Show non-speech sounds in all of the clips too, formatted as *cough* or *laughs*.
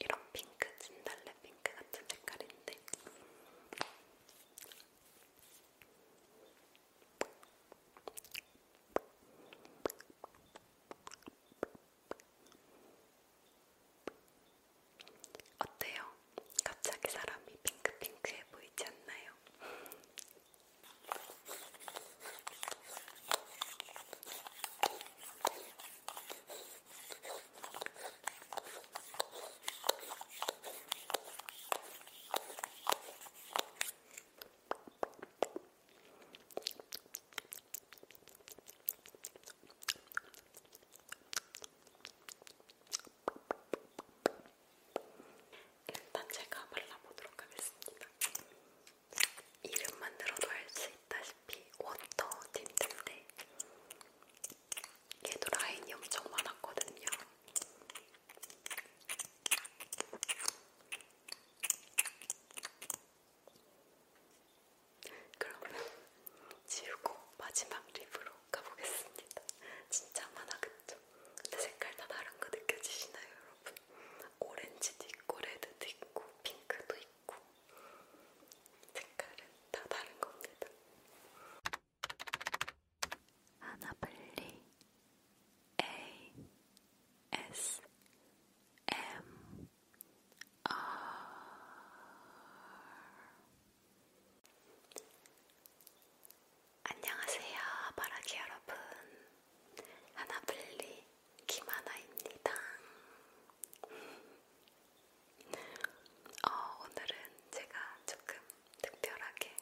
이런 핑크, 진달래 핑크 같은 색깔인데 어때요? 갑자기 사람이 핑크핑크해 보이지 않나요? 일단 제가 발라보도록 하겠습니다. 이름만 들어도 알 수 있다시피 워터 틴트인데 얘도 라인이 엄청 많았거든요. 그러면 지우고 마지막 립으로 가보겠습니다. 진짜 많아 그쵸? 근데 색깔 다 다른 거 느껴지시나요? 오렌지도 있고 레드도 있고 핑크도 있고 색깔은 다 다른 겁니다. 아나블리 A S M R 안녕하세요 바라기 여러분 하나블리 김하나입니다. 어, 오늘은 제가 조금 특별하게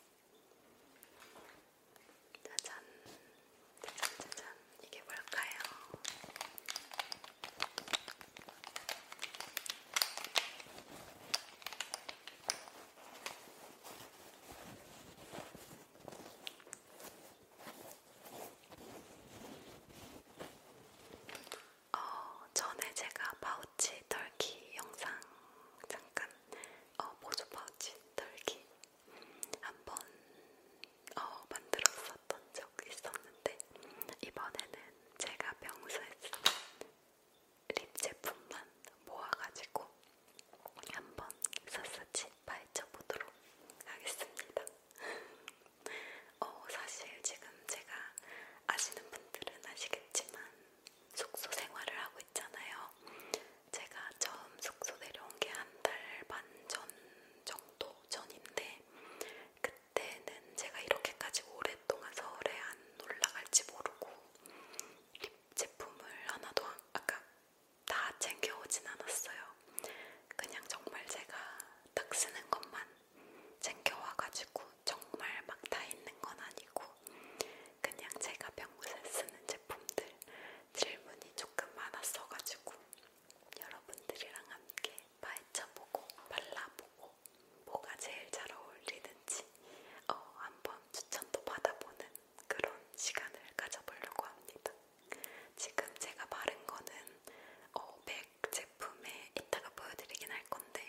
짜잔, 짜잔, 짜잔, 이게 뭘까요? 어, 전에 제가 파우치 털기 영상 잠깐 어, 보조 파우치 털기 한번 어, 만들었었던 적이 있었는데 이번에는 제가 평소에 쓴립 제품만 모아가지고 한번 샅샅이 파헤쳐보도록 하겠습니다. *laughs* 어, 사실 지금 제가 아시는 분들은 아시겠지만 숙소 생활을 하고 있잖아요. 제가 처음 숙소 내려온 게 한 달 반 전 정도 전인데 그때는 제가 이렇게까지 오랫동안 서울에 안 올라갈지 모르고 립 제품을 하나도 아까 다 챙겨오진 않았어요. 그냥 정말 제가 딱 쓰는 것만 챙겨와가지고 정말 막 다 있는 건 아니고 그냥 제가 평소에 쓰는 제품들 질문이 조금 많았어가지고 여러분들이랑 함께 파헤쳐보고 발라보고 뭐가 제일 잘 어울리는지 어, 한번 추천도 받아보는 그런 시간을 가져보려고 합니다. 지금 제가 바른 거는 어, 맥 제품에 이따가 보여드리긴 할 건데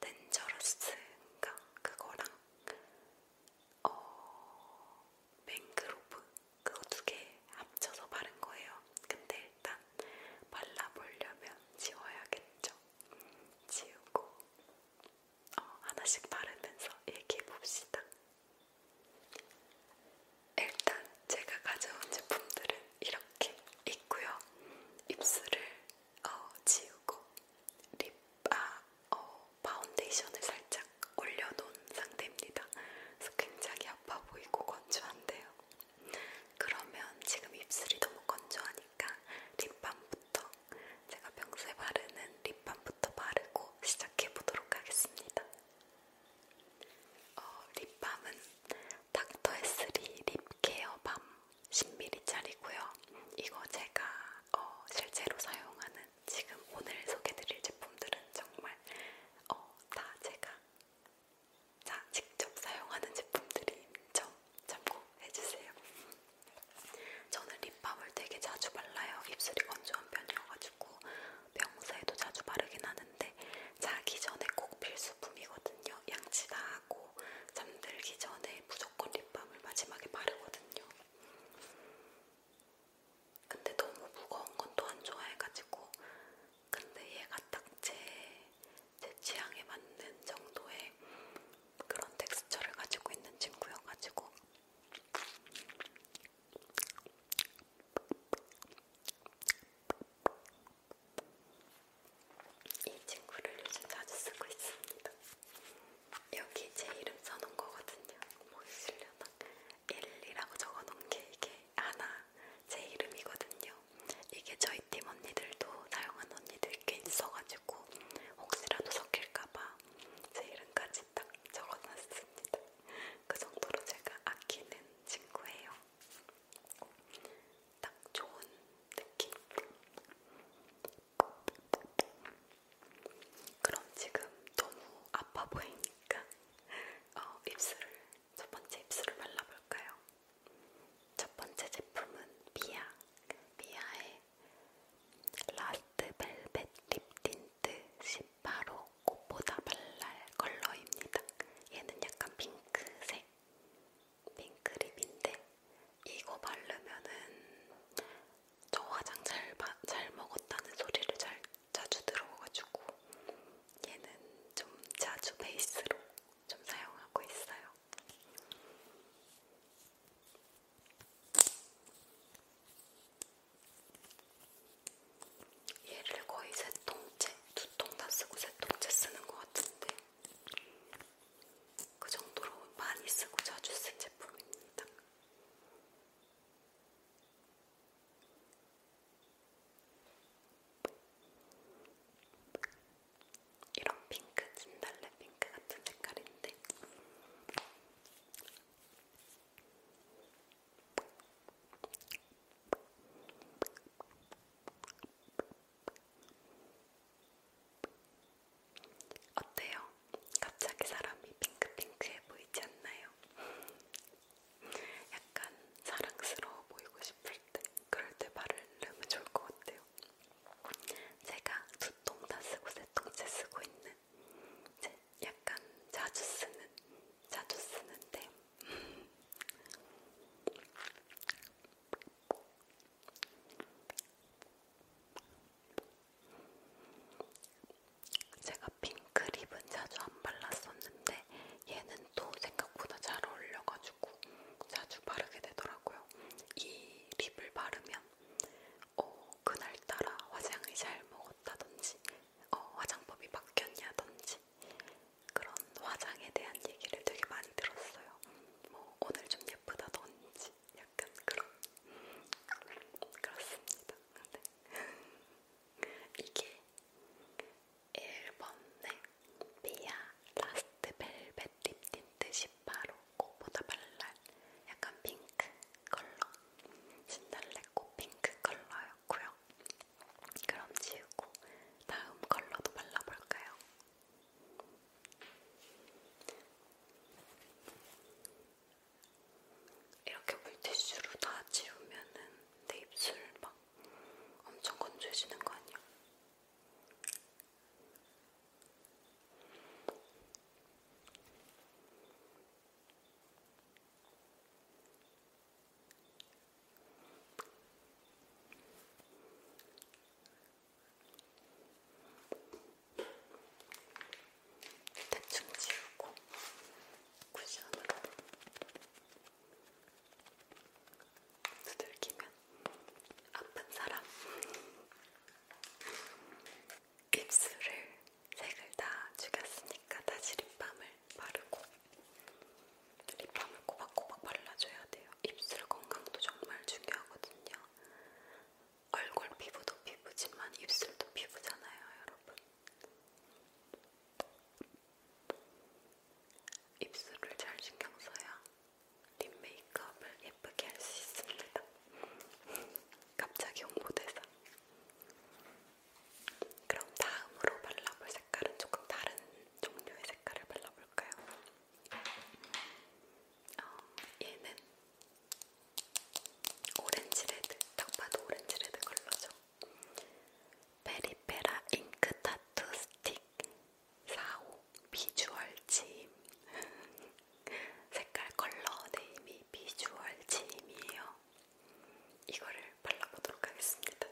덴저러스인가 그거랑 어, 맹그로브 그거 두개 합쳐서 바른 거예요. 근데 일단 발라보려면 지워야겠죠. 지우고 어, 하나씩 바르면서 얘기해 봅시다. 일단 제가 가져온 제품들은 이렇게 있고요. 입술을 어, 지우고 립, 아, 어, 파운데이션을 살짝 올려놓은 상태입니다. 그래서 굉장히 아파 보이고 건조한데요. 그러면 지금 입술이 너무 건조하니까 립밤부터 제가 평소에 바르는 립밤부터 바르고 시작해보도록 하겠습니다. 어, 립밤은 닥터에스리 립케어 밤 10ml짜리고요. 이거 제가 어, 실제로 사용하는 지금 오늘 소개드릴 제품들은 정말 어, 다 제가 자, 직접 사용하는 제품들인 점 참고해주세요. 저는 립밤을 되게 자주 발라요. 입술이 건조한 편이어가지고 평소에도 자주 바르긴 하는데 자기 전에 꼭 필수품이거든요. 양치 다 하고 잠들기 전에 무조건 립밤을 마지막에 바르거든요. 근데 너무 무거운 건 또 안 좋아해가지고 근데 얘가 딱 제제 제 취향에 맞는 정도의 그런 텍스처를 가지고 있는 친구여가지고 이 친구를 요즘 자주 쓰고 있습니다. 여기 제 이름 써놓은 거거든요. 보이시려나? 뭐 1이라고 적어놓은 게 이게 하나 제 이름이거든요. 이게 저희 팀 언니들도 사용한 언니들 꽤 있어가지고 혹시라도 섞일까봐 제 이름까지 딱 적어놨습니다. 그 정도로 제가 아끼는 친구예요. 딱 좋은 느낌. 그럼 지금 너무 아파 보이니까 어, 입술을 첫 번째 입술을 발라볼까요? 첫 번째 제품은 미아 미아의 라스트 벨벳 립 틴트 18호 꽃보다 발랄 컬러입니다. 얘는 약간 핑크색, 핑크 립인데 이거 바르면은 저 화장 잘, 바, 잘 먹었다는 소리를 잘 자주 들어가지고 얘는 좀 자주 베이스로 좀 사용하고 있어요. 얘를 거의 세 통째, 두 통 다 쓰고 세 통째 쓰는 것 같은데 그 정도로 많이 쓰고 자주 쓴 제품입니다. 이런 핑크, 진달래 핑크 같은 색깔인데 어때요? 갑자기 사람이 핑크핑크해 보이지 않나요? *laughs* 약간 사랑스러워 보이고 싶을 때 그럴 때 발을 넣으면 좋을 것 같아요. 제가 두통 다 쓰고 세통째 쓰고 있는 이제 약간 자주 쓰는, 자주 쓰는데 제가 핑크 립은 자주 안 발랐었는데 얘는 또 생각보다 잘 어울려가지고 자주 바르게 되더라고요. 이 립을 바르면 어, 그날따라 화장을 잘 먹었다든지 어, 화장법이 바뀌었냐든지 그런 화장에 대한 얘기를 되게 많이 들었어요. 뭐 오늘 좀 예쁘다든지 약간 그런 그렇습니다. 근데 네. *laughs* 이게 1번의 비아 라스트 벨벳 립 틴트 18호 꽃보다 발랄 약간 핑크 컬러 신달래 꽃 핑크 컬러였고요. 그럼 지우고 다음 컬러도 발라볼까요? 이렇게 물티슈로 다 지우면은 내 입술 막 엄청 건조해지는 거 아니야? 대충 지우고 쿠션으로 두들기면 아픈 사람 입술을 색을 다 죽였으니까 다시 립밤을 바르고 립밤을 꼬박꼬박 발라줘야 돼요. 입술 건강도 정말 중요하거든요. 얼굴 피부도 피부지만 입술도 피부잖아요, 여러분. 입술을 잘 신경 써야 립 메이크업을 예쁘게 할 수 있습니다. 갑자기 홍보대사. 그럼 다음으로 발라볼 색깔은 조금 다른 종류의 색깔을 발라볼까요? 어, 얘는 오렌지 레드, 딱 봐도 오렌지 레드 컬러죠. 베리페라 잉크 타투 스틱 45 비주얼 침 *laughs* 색깔 컬러 네임이 비주얼 짐이에요. 이거를 발라보도록 하겠습니다.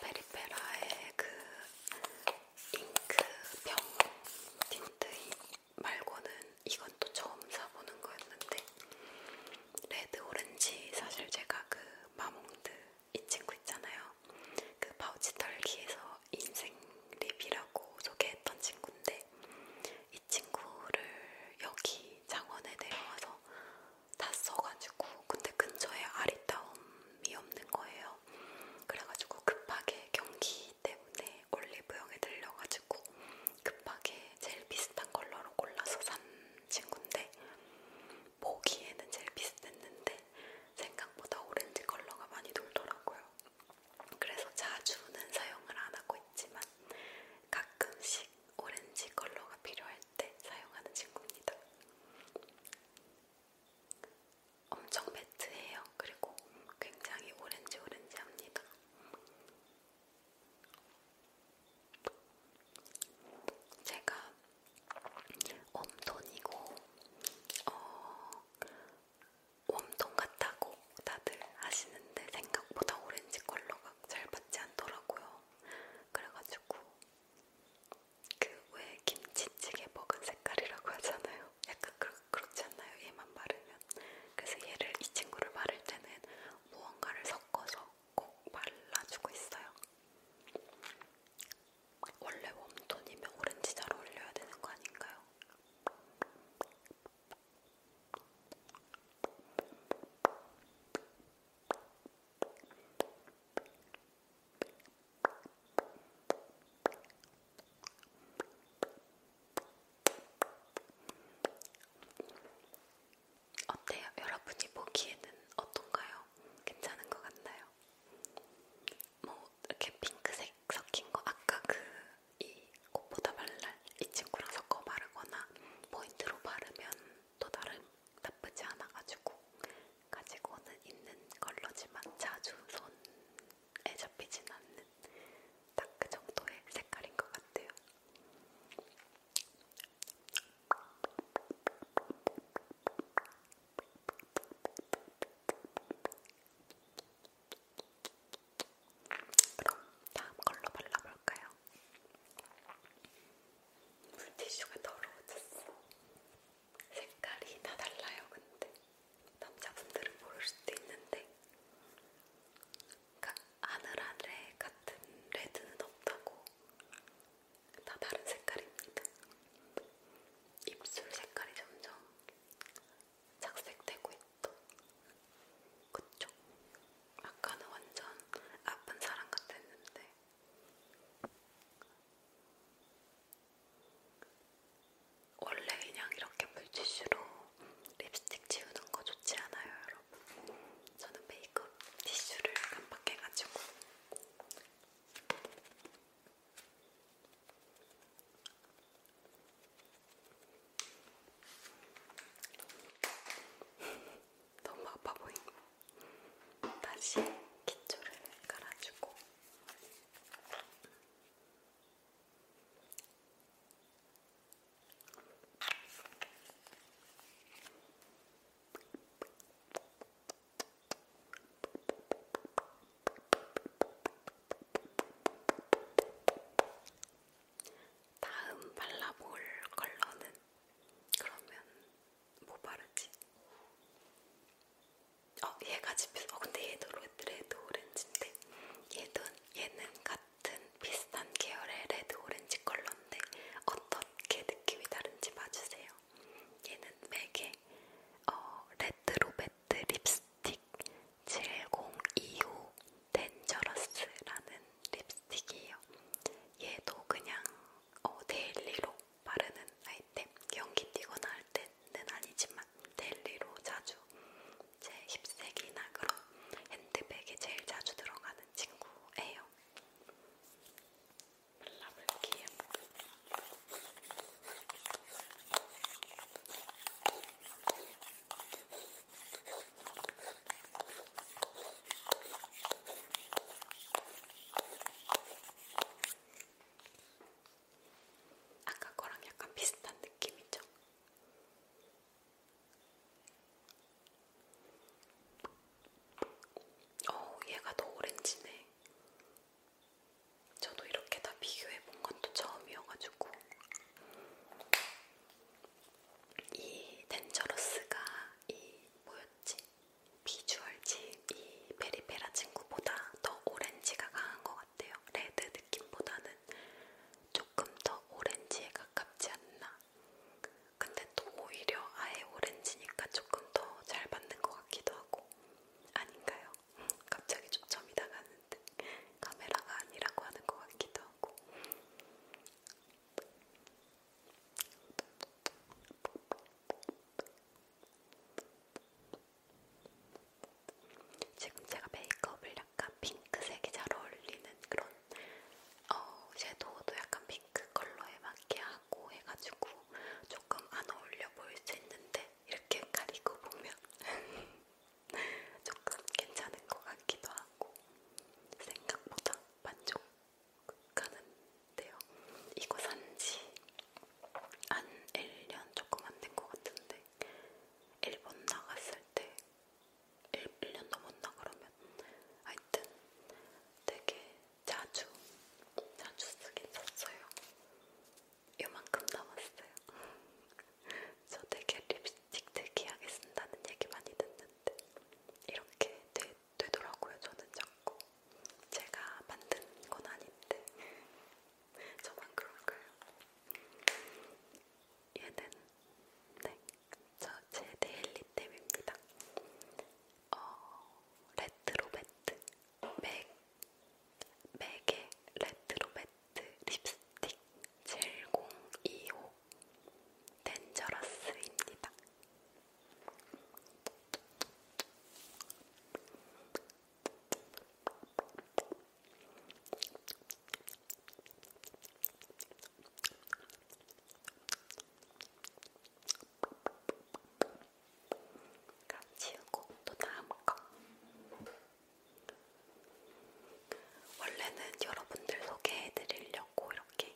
페리페라의 그 잉크 병 틴트인 말고는 이건 또 처음 사보는 거였는데 레드 오렌지 사실 제가 그 마몽드 이 친구 있잖아요. 그 파우치 털기에서 인생 립이라고 소개했던 친구인데 이 친구를 여기 장원에 내려와서 다 써가지고 근데 근처에 아리따움이 없는 거예요. 그래가지고 급하게 경기 하기 때문에 올리브영에 들려가지고 급하게 제일 비슷한 컬러로 골라서 산 친구인데 보기에는 제일 비슷했는데 생각보다 오렌지 컬러가 많이 돌더라고요. 그래서 자주는 사용을 안 하고 있지만 가끔씩 오렌지 컬러가 필요할 때 사용하는 친구입니다. 엄청 매트해요. 그리고 굉장히 오렌지 오렌지합니다. 제가 웜톤이고 어, 웜톤 같다고 다들 하시는데 생각보다 오렌지 컬러가 잘 맞지 않더라고요. 그래가지고 그 왜 김치찌개 먹은 색깔이라고 하잖아요. 약간 그렇, 그렇지 않나요? 얘만 바르면 그래서 얘를 이 친구를 바를 때는 무언가를 섞어서 꼭 발라주고 있어요. 원래 웜톤이면 오렌지 잘 어울려야 되는 거 아닌가요? 어때요? 여러분이 보기에는 어떤가요? 괜찮은 것 같나요? 뭐 이렇게 핑크색 섞인 거 아까 그이 꽃보다 발랄 이 친구랑 섞어 바르거나 포인트로 바르면 또 다른 나쁘지 않아가지고 가지고는 있는 컬러지만 자주 손 눈에 잡히진 않는 딱 그 정도의 색깔인 것 같아요. 그럼 다음 걸로 발라볼까요? 물티슈가 더러워졌어. 색깔이 다 달라요, 근데. 남자분들은 모를 수도 있는데 그러니까 하늘하늘에 같은 레드는 없다고 다 다른 색깔입니다. 입술 색깔이 점점 착색되고 있죠. 그쵸? 아까는 완전 아픈 사람 같았는데 원래 그냥 이렇게 물티슈로 립스틱 지우는 거 좋지 않아요, 여러분? 저는 메이크업 티슈를 깜빡해가지고 *laughs* 너무 아파 보임. 다시 기초를 깔아주고. 다음 발라볼 컬러는 그러면 뭐 바르지? 어, 얘가 집에서. 어, 근데 얘도 레드 오렌지인데 얘도 얘는 같은 비슷한 계열의 레드 오렌지 컬러인데 어떻게 느낌이 다른지 봐주세요. 얘는 맥의 어, 레드 로베트 립스틱 7025 덴저러스라는 립스틱이에요. 얘도 그냥 어, 데일리로 바르는 아이템 연기 띄거나 할 때는 아니지만 하지만 델리로 자주 제 10세기 나그로 핸드백에 제일 자주 들어가는 친구예요. 발라볼게요. 아까 거랑 약간 비슷한 느낌이죠? 어, 얘가 더 오렌지네. 저도 이렇게 다 비교해본 건 또 처음이어가지고. 이 덴저러스가 이 뭐였지? 비주얼지 이 베리페라 친구보다 더 오렌지가 강한 것 같아요. 레드 느낌보다는 조금 더 오렌지에 가깝지 않나. 근데 또 오히려 아예 오렌지니까 조금 더잘 받는 것 같기도 하고. 아닌가요? *laughs* 갑자기 좀 점이 나가는데 카메라가 아니라고 하는 것 같기도 하고. 지금 제가 메이크업을 약간 핑크색이 잘 어울리는 그런 어, 섀도우도 약간 핑크 컬러에 맞게 하고 해가지고 조금 안 어울려 보일 수 있는데 이렇게 가리고 보면 *laughs* 조금 괜찮은 것 같기도 하고 생각보다 만족하는데요. 이거 산지 한 1년 조금 안 된 것 같은데 일본 나갔을 때 1, 1년 넘었나 그러면 하여튼 되게 자주 자주 쓰긴 썼어요. 요만큼 남았어요. *laughs* 저 되게 립스틱 대기하게 쓴다는 얘기 많이 듣는데 이렇게 되, 되더라고요. 저는 자꾸 제가 만든 건 아닌데 저만 그럴까요? 얘는 네, 저제 데일리템입니다. 어, 레트로 매트 맥 맥의 레트로 매트 립스틱 7025 덴저러스입니다. 그럼 지우고 또 다음 거. 원래는 여러분들 소개해드리려고 이렇게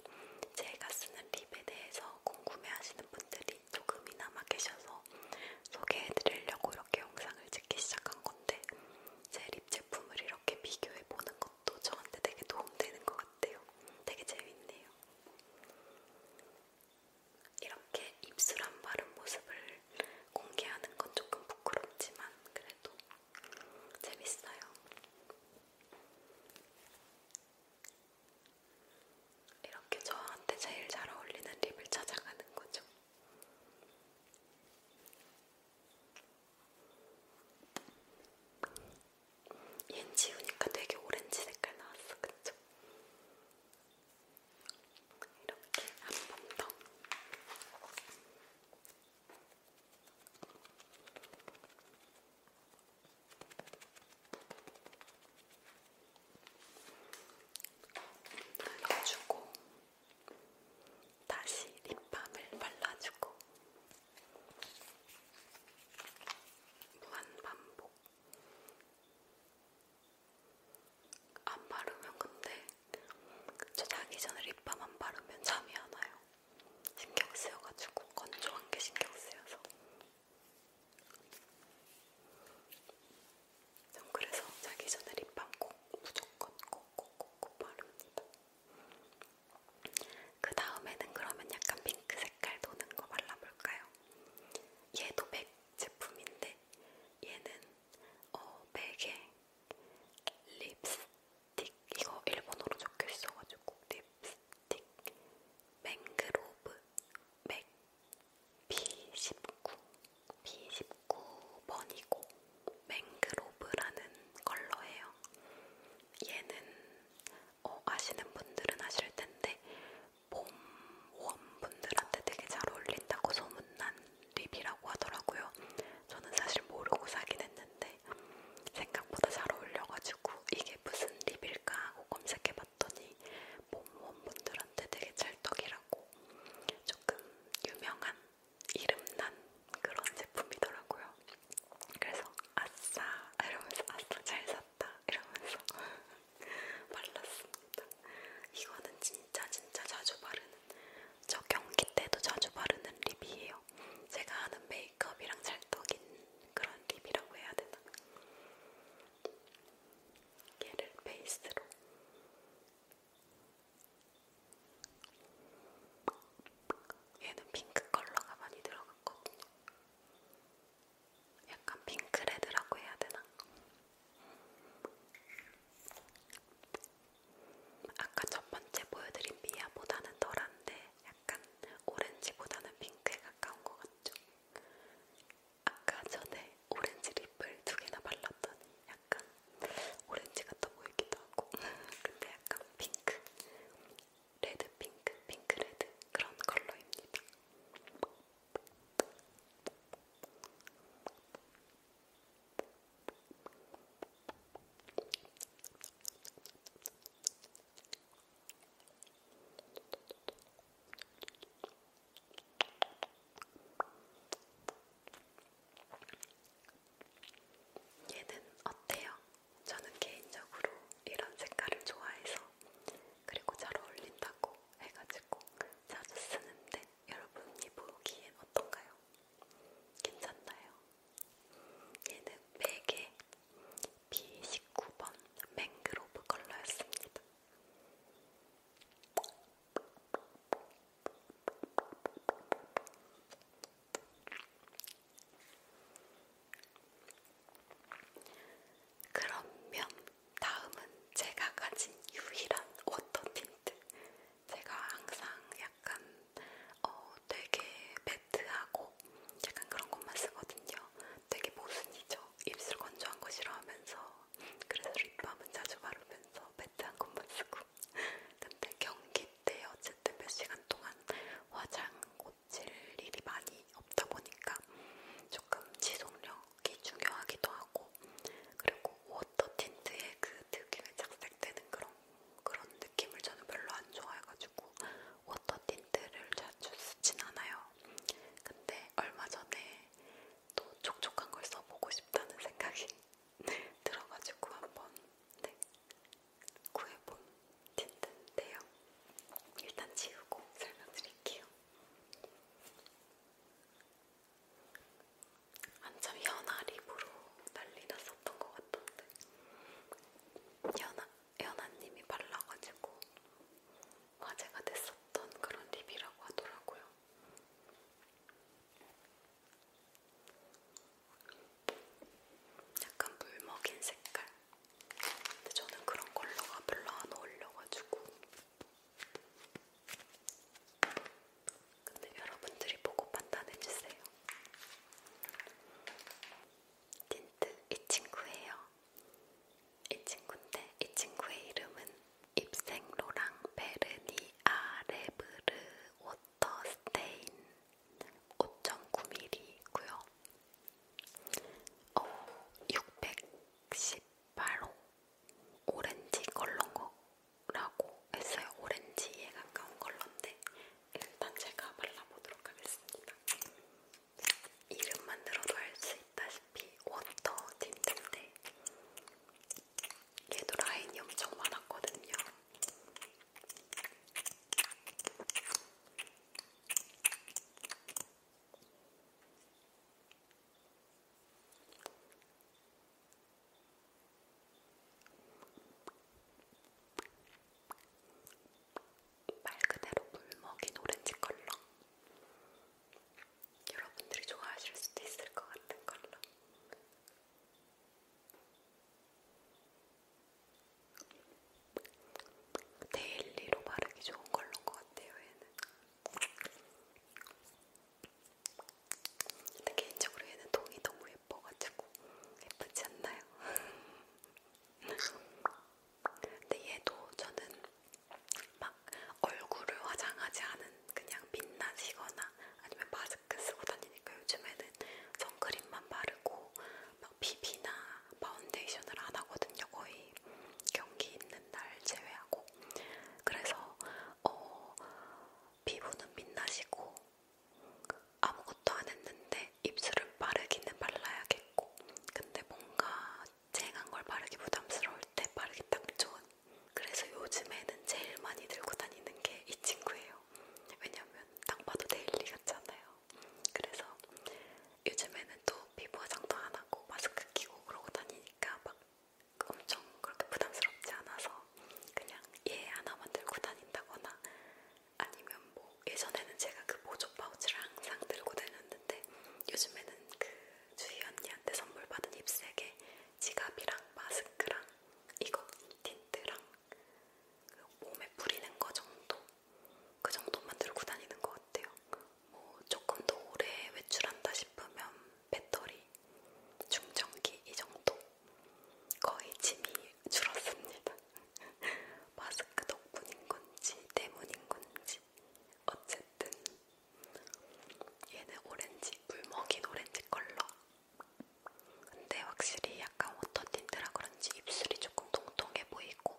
제가 쓰는 립에 대해서 궁금해하시는 분들이 조금이나마 계셔서 있어서 소개해드리려고 이렇게 영상을 찍기 시작한 건데 제 립 제품을 이렇게 비교해보는 것도 저한테 되게 도움되는 것 같아요. 되게 재밌네요. 이렇게 입술 안 바른 모습을 공개하는 건 조금 부끄럽지만 그래도 재밌어요. 이렇게 저한테 제일 잘 어울리는 립을 찾아가는 거죠. 얜 지우니까 되게 오렌지 색깔 나왔어, 그쵸? 이렇게 한 번 더. 발라주고 다시 립밤을 발라주고 무한 반복. 안 바르면 근데 저 자기 전에 립밤 안 바르면 잠이 안 와요. 신경 쓰여가지고 건조한 게 신경 쓰여서 전 그래서 자기 전에 립밤 꼭 무조건 꼭꼭꼭 바릅니다. 그 다음에는 그러면 약간 핑크 색깔 도는 거 발라볼까요? 얘도 맥 제품인데 얘는 어 맥에 립스틱 이거 일본어로 적혀 있어가지고 립스틱. 맹그로브 맥 B19, B19번이고 맹그로브라는 컬러예요. 얘는 어, 아시는 분들은 아실 텐데 봄 원 분들한테 되게 잘 어울린다고 소문난 립이라고 하더라고요. 저는 사실 모르고 사긴 했는데 생각보다 잘 어울려가지고 이게 무슨 립일까 하고 검색해봤더니 몸원분들한테 되게 찰떡이라고 조금 유명한 이름난 그런 제품이더라고요. 그래서 아싸 이러면서 아싸 잘 샀다 이러면서 *laughs* 발랐습니다. 이거는 진짜 진짜 자주 바르는 저 경기 때도 자주 바르는 립이에요. 제가 하는 메이크업이랑 찰떡인 그런 립이라고 해야 되나? 얘를 베이스로 얘는 핑크 컬러가 많이 들어갔거든요. 약간 핑크레드라고 해야 되나? 아까 첫 번째 보여드린 미아보다는 덜한데 약간 오렌지보다는 핑크에 가까운 것 같죠? 아까 전에 오렌지 립을 두 개나 발랐더니 약간 오렌지 같아 보이기도 하고 *laughs* 근데 약간 핑크, 레드 핑크, 핑크 레드 그런 컬러입니다. 얘는 어때요? 저는 개인적으로 이런 색깔을 좋아해서 그리고 잘 어울린다고 해가지고 자주 쓰는데 여러분이 보기엔 어떤가요? 괜찮나요? 얘는 베개 B19번 맹그로브 컬러였습니다. 그러면 다음은 제가 가진 유일한 워터 틴트. 제가 항상 약간 어, 되게 매트하고 약간 그런 것만 쓰거든요. 되게 모순이죠. 입술 건조한 거 싫어하면서 그래서 립밤은 자주 바르면서 매트 한 곳만 쓰고 근데 경기 때 어쨌든 몇 시간 동안 화장 고칠 일이 많이 없다 보니까 조금 지속력이 중요하기도 하고 그리고 워터 틴트의 그 특유의 착색되는 그런 그런 느낌을 저는 별로 안 좋아해가지고 워터 틴트를 자주 쓰진 않아요. 근데 얼마 전에 더 촉촉한 걸 써보고 싶다는 생각이 *laughs* 들어가지고 한번 네, 구해본 틴트인데요. 일단 지우고 설명드릴게요. 한참 연한 립으로 난리 났었던 것 같던데 연아, 연아님이 발라가지고 화제가 됐었던 그런 립이라고 하더라고요. 약간 물 먹인 색깔. 근데 저는 그런 컬러가 별로 안 어울려가지고. 근데 여러분들이 보고 판단해주세요. 틴트 이 친구예요. 이 친구인데 이 친구의 이름은 입생로랑 베르니아 레브르 워터스테인 5.9mm이고요. 어, 618호 오렌지 걸런거라고 했어요. 오렌지에 가까운 걸런데 일단 제가 발라보도록 하겠습니다. 이름만 들어도 알 수 있다 싶 어차피 워터 딥인데 얘도 라인이 엄청 많았거든요. 말 그대로 물 먹인 오렌지 컬러 여러분들이 좋아하실 수도 있을 것 같은 걸로. 데일리로 바르기 좋은 걸로인 것 같아요, 얘는. 근데 개인적으로 얘는 동이 너무 예뻐가지고 예쁘지 않나요? *laughs* 근데 얘도 저는 막 얼굴을 화장하지 않은 그냥 빛나시거나 아니면 마스크 쓰고 다니니까 요즘에는 선크림만 바르고 막 비비나 파운데이션을 안 하거든요. 거의 경기 있는 날 제외하고. 그래서 어, 피부는 빛나시고 아무것도 안 했는데 입술은 바르기는 발라야겠고 근데 뭔가 쨍한 걸 바르기 부담스러울 때 바르기 딱 좋은 그래서 요즘에는 제일 많이 들고 다니는 게 이 친구예요. 왜냐면 딱 봐도 데일리 같잖아요. 그래서 요즘에는 또 피부 화장도 안 하고 마스크 끼고 그러고 다니니까 막 엄청 그렇게 부담스럽지 않아서 그냥 얘 예, 하나만 들고 다닌다거나 아니면 뭐 예전에는 제가 그 보조 파우치를 항상 들고 다녔는데 요즘에는 그 주희 언니한테 선물 받은 힙색에 지갑이랑 마스크랑 이거 틴트랑 그 몸에 뿌리는 거 정도 그 정도만 들고 다니는 것 같아요. 뭐 조금 더 오래 외출한다 싶으면 배터리, 충전기 이 정도 거의 짐이 줄었습니다. *laughs* 마스크 덕분인 건지 때문인 건지 어쨌든 얘는 오렌지, 물먹인 오렌지 컬러. 근데 확실히 약간 워터틴트라 그런지 입술이 조금 통통해 보이고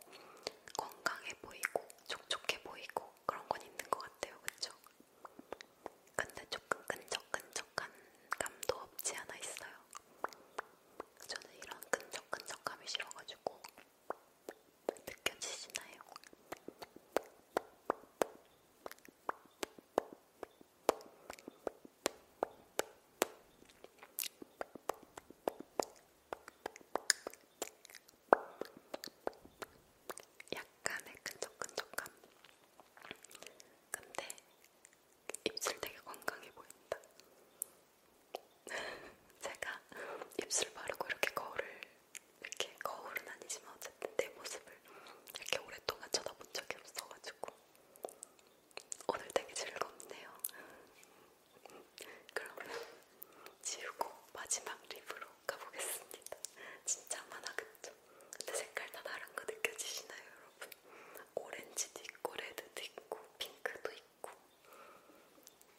건강해 보이고 촉촉해 보이고 그런 건 있는 것 같아요, 그쵸? 근데 조금 끈적끈적한 감도 없지 않아 있어요. 저는 이런 끈적끈적감이 싫어가지고 느껴지시나요? 약간의 끈적끈적함. 근데 입술 되게 건강해 보인다. *laughs* 제가 입술 바르고 이렇게 거울을 이렇게 거울은 아니지만 어쨌든 내 모습을 이렇게 오랫동안 쳐다본 적이 없어가지고 오늘 되게 즐겁네요. 그러면 지우고 마지막 립으로 가보겠습니다. 진짜 많아겠죠? 근데 색깔 다 다른 거 느껴지시나요, 여러분? 오렌지도 있고, 레드도 있고, 핑크도 있고. 있고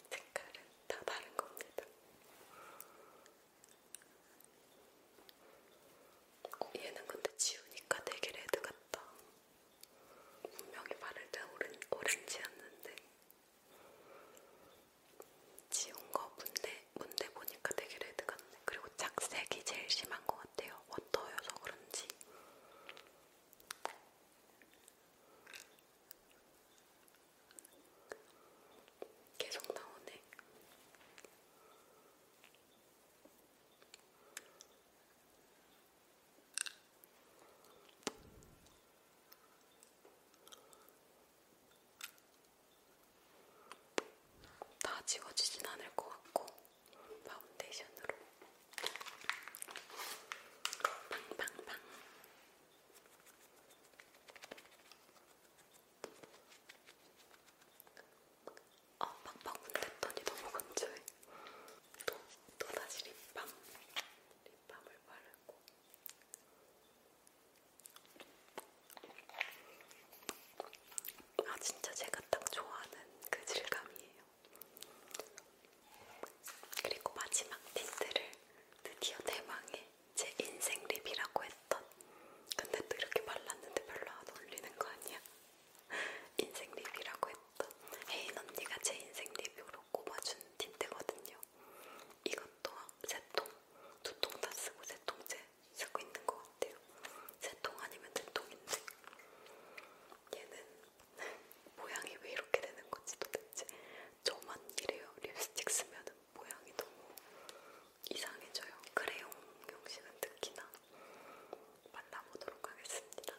색깔은 다 다른 겁니다. 어, 얘는 근데 지우니까 되게 레드 같다. 분명히 바를 때 오렌, 오렌지였는데 지운 거 문대, 문대 보니까 되게 레드 같네. 그리고 착색이 제일 심한 것 같아요. 워터여서 그런지. 계속 나오네. 다 지워지진 않을 것 같고 파운데이션으로 빵빵빵 아, 팍팍 문댔더니 너무 건조해. 또, 또 다시 립밤. 립밤을 바르고. 아, 진짜 제가 딱 좋아하는 그 질감이에요. 그리고 마지막 틴트를 드디어 대망의 제 인생 립이라고 했던 근데 또 이렇게 발랐는데 별로 안 어울리는 거 아니야? *laughs* 인생 립이라고 했던 혜인 언니가 제 인생 립으로 꼽아준 틴트거든요. 이것도 세통두 통 다 쓰고 세통째 쓰고 있는 것 같아요. 세 통 아니면 세통인데 얘는 모양이 왜 이렇게 되는 건지 도대체 저만 이래요. 립스틱 쓰면 모양이 너무 이상해져요. 크레용 형식은 특히나 만나보도록 하겠습니다.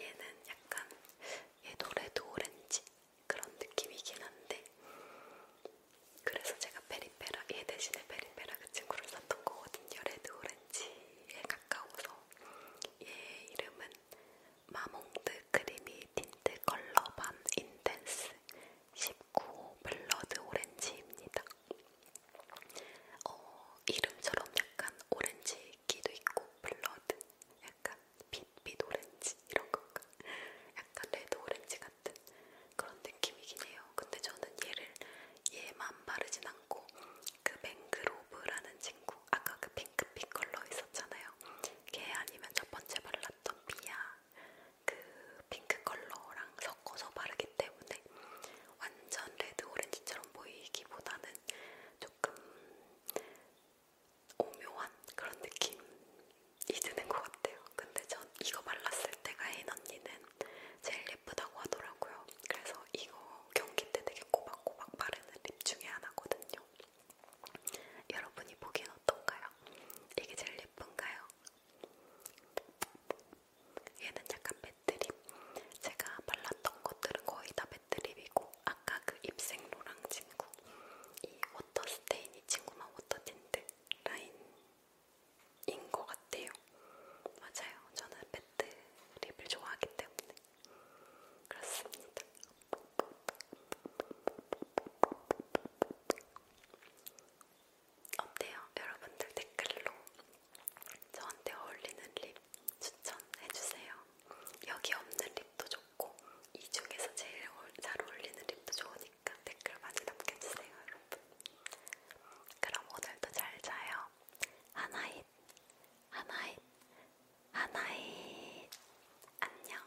얘는 약간 얘 노래도 오렌지 그런 느낌이긴 한데 그래서 제가 페리페라 얘 대신에 페리페라 그 친구를 샀던 거거든요. 레드 오렌지에 가까워서 얘 이름은 마몽드 크리미 틴트 컬러 밤 인텐스 19호 블러드 오렌지입니다. 어, 이름처럼 약간 오렌지 있기도 있고 블러드 약간 빛빛 오렌지 이런 건가? 약간 레드 오렌지 같은 그런 느낌이긴 해요. 근데 저는 얘를 얘만 바르진 않고 그 맹그로브라는 친구 아까 그 핑크빛 컬러 있었잖아요. 걔 아니면 첫 번째 발랐던 비야 그 핑크 컬러랑 섞어서 바르기 때문에 완전 레드 오렌지처럼 보이기보다는 조금 오묘한 그런 느낌이 드는 것 같아요. 근데 전 이거 발랐을 때가 혜인 언니는 제일 예쁘다고 하더라고요. 그래서 이거 경기 때 되게 꼬박꼬박 바르는 립 중에 하나거든요. 여러분이 보기엔 어떤가요? 이게 제일 예쁜가요? 얘는 약간 매트립 제가 발랐던 것들은 거의 다 매트립이고 아까 그 입생로랑 친구 이 워터스테인 이 친구만 워터틴트 라인인 것 같아요 맞아요 저는 매트립을 좋아하기 때문에 그렇습니다 어때요? 여러분들 댓글로 저한테 어울리는 립 추천해주세요. 여기 없는 립도 좋고 이 중에서 제일 잘 어울리는 립도 좋으니까 댓글 많이 남겨주세요, 여러분. 그럼 오늘도 잘 자요. 하나잇, 하나잇, 하나잇. 안녕.